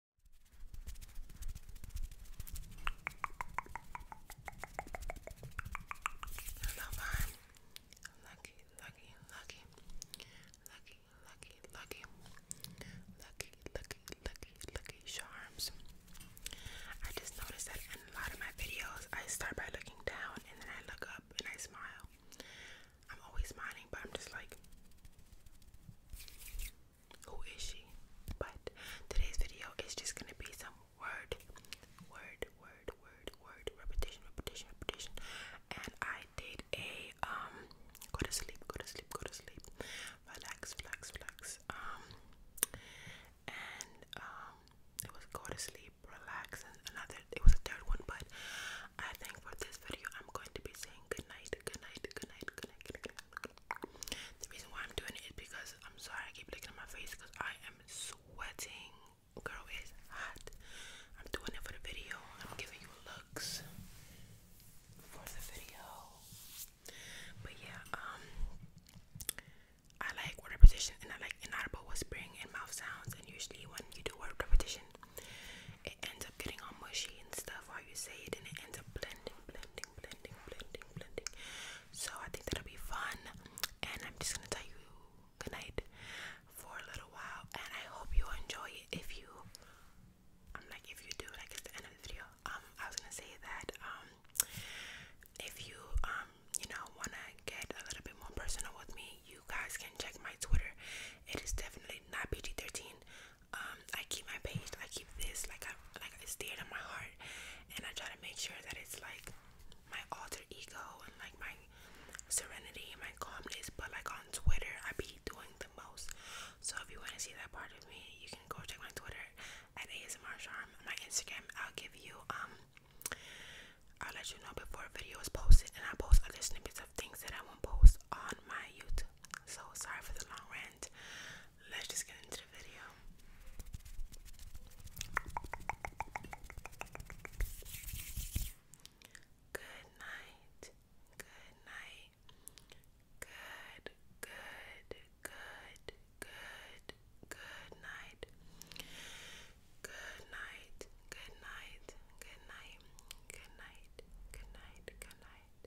i lucky, lucky, lucky, lucky, lucky, lucky, lucky, lucky, lucky, lucky charms. I just noticed that in a lot of my videos, I start by looking down and then I look up and I smile. I'm always smiling, but I'm just like who is she? But today's video is just gonna be some word, word, word, word, word, repetition, repetition, repetition. And I did a um go to sleep, go to sleep, go to sleep, relax, relax, relax. Um and um it was go to sleep, relax, and another it was a third one, but I think for this video I'm going to be saying good night, good night, good night, good night, good night, the reason why I'm doing it is because I'm sorry I keep looking at my face because I am sweating. Girl, it's hot. I'm doing it for the video. I'm giving you looks for the video. But yeah, um I like word repetition and I like inaudible whispering and mouth sounds and usually when you do word repetition it ends getting all mushy and stuff while you say it and it ends up blending, blending, blending, blending, blending. So I think that'll be fun and I'm just gonna tell you good night for a little while and I hope you enjoy it if you I'm like if you do like it's the end of the video. Um I was gonna say that um if you um you know wanna get a little bit more personal with me you guys can check my Twitter. It is definitely not PG thirteen um, I keep my page I keep this like I like it's dear to my heart and I try to make sure that it's like my alter ego and like my serenity and my calmness but like on Twitter I be doing the most so if you want to see that part of me you can go check my Twitter at ASMR Charm my Instagram I'll give you um I'll let you know before a video is posted and I post other snippets of things that I won't post on my YouTube so sorry for the long rant. Let's just get into the video. Good night. Good night. Good, good, good, good, good night. Good night. Good night. Good night. Good night. Good night. Good night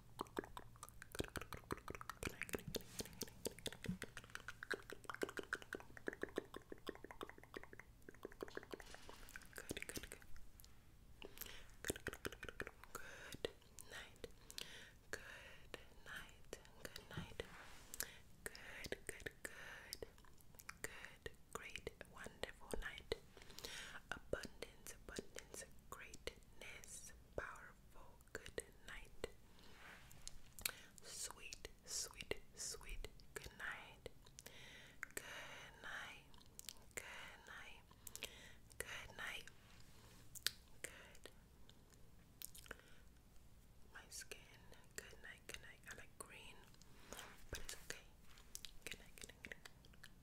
good, good, good, good, great, wonderful night. Abundance, abundance, greatness, power, good night. Sweet, sweet, sweet good night. Good night. Good night. Good night. Good. My skin. Good night. Good night. I like green, but it's okay. Good night. Good night.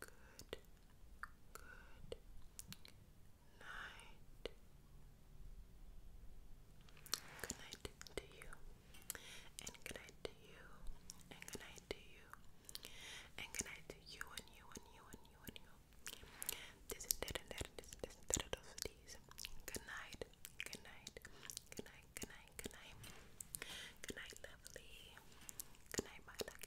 good, good night. Good night to you, and good night to you, and good night to you, and good night to you, and you, and you, and you, and you. This is dead and dead, this is dead and dead, these. Good night, good night, good night, good night, good night. Good night, lovely. Good night, my love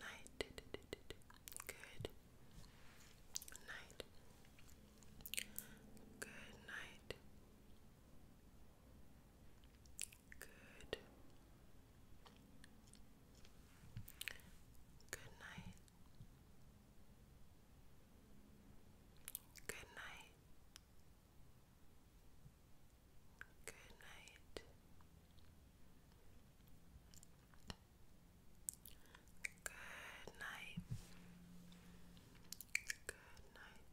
night. Good night. Good night. Good. Good night. Good night. Good night. Good night. Good night. Good night.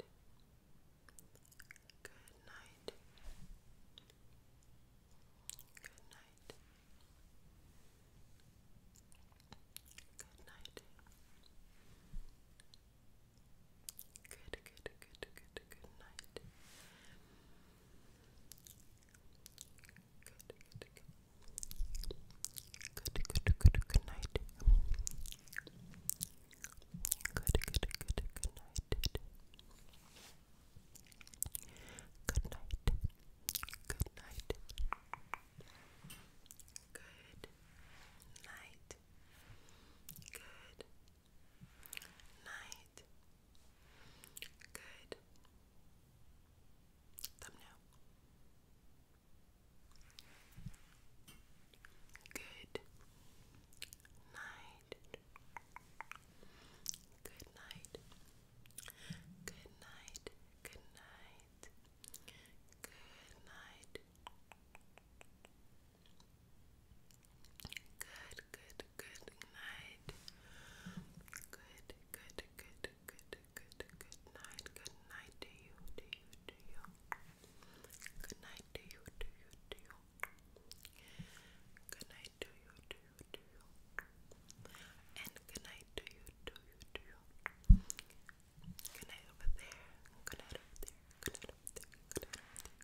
Good night. Good night. Good, good, good, good, good night good, good, good, good, good night. Good, good, good, good night. Good night. Good night. Good night. Good Night. Good. Thumbnail. Good night. Good night. Good night. Good night. Good night. Good, good, good night. Good, good, good, good, good, good night. Good night to you, to you, to you. Good night to you, to you, to you. Good night to you, to you, to you. And good night to you, to you, to you. Good night over there. Good night over there. Good night over there. Good night over there.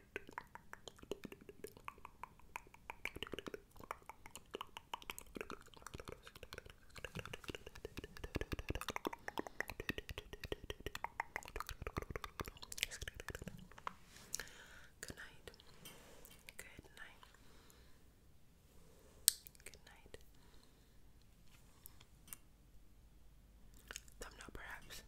Good night. Good night. Good night. Thumbnail, perhaps.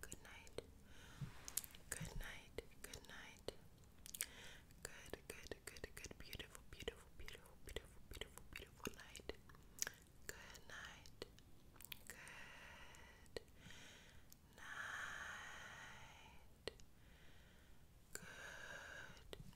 Good night. Good night. Good night. Good, good, good, good, beautiful, beautiful, beautiful, beautiful, beautiful, beautiful night. Good night. Good night. Good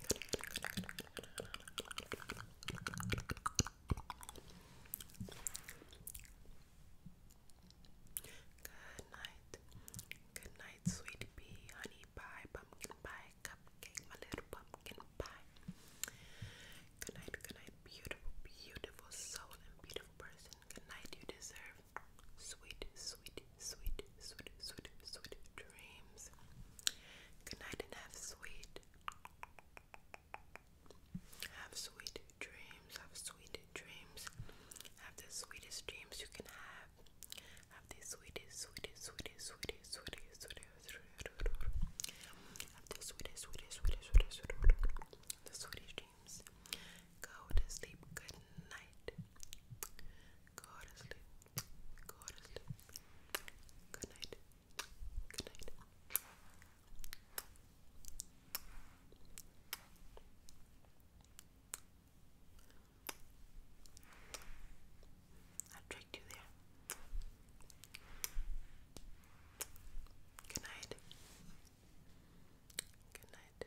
Good night. Good night, sweet honey pie, pumpkin pie, cupcake, my little pumpkin pie. Good night, good night, beautiful, beautiful soul and beautiful person. Good night, you deserve sweet, sweet sweet, sweet, sweet, sweet, sweet dreams. Good night and have sweet. Have sweet dreams. Have sweet dreams. Have the sweetest dreams you can have. Have the sweetest, sweetest, sweetest, sweetest, sweetest, sweetest, Have the sweetest, sweetest, sweetest, sweetest, the sweetest dreams. Go to sleep. Good night. Go to sleep. Good. Good night. I tricked you there. Good night. Good night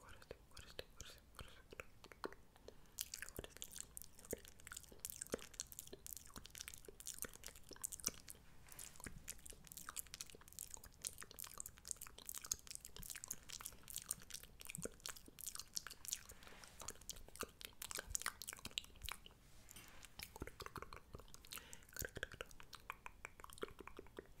what is it? What is it? What is it? What is it? What is it? What is it?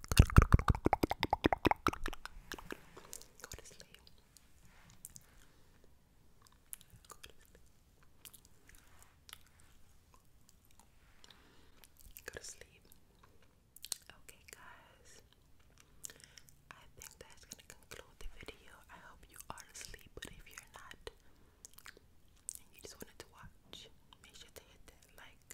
Go to sleep. Go to sleep. Okay, guys. I think that's gonna conclude the video. I hope you are asleep, but if you're not, and you just wanted to watch, make sure to hit that like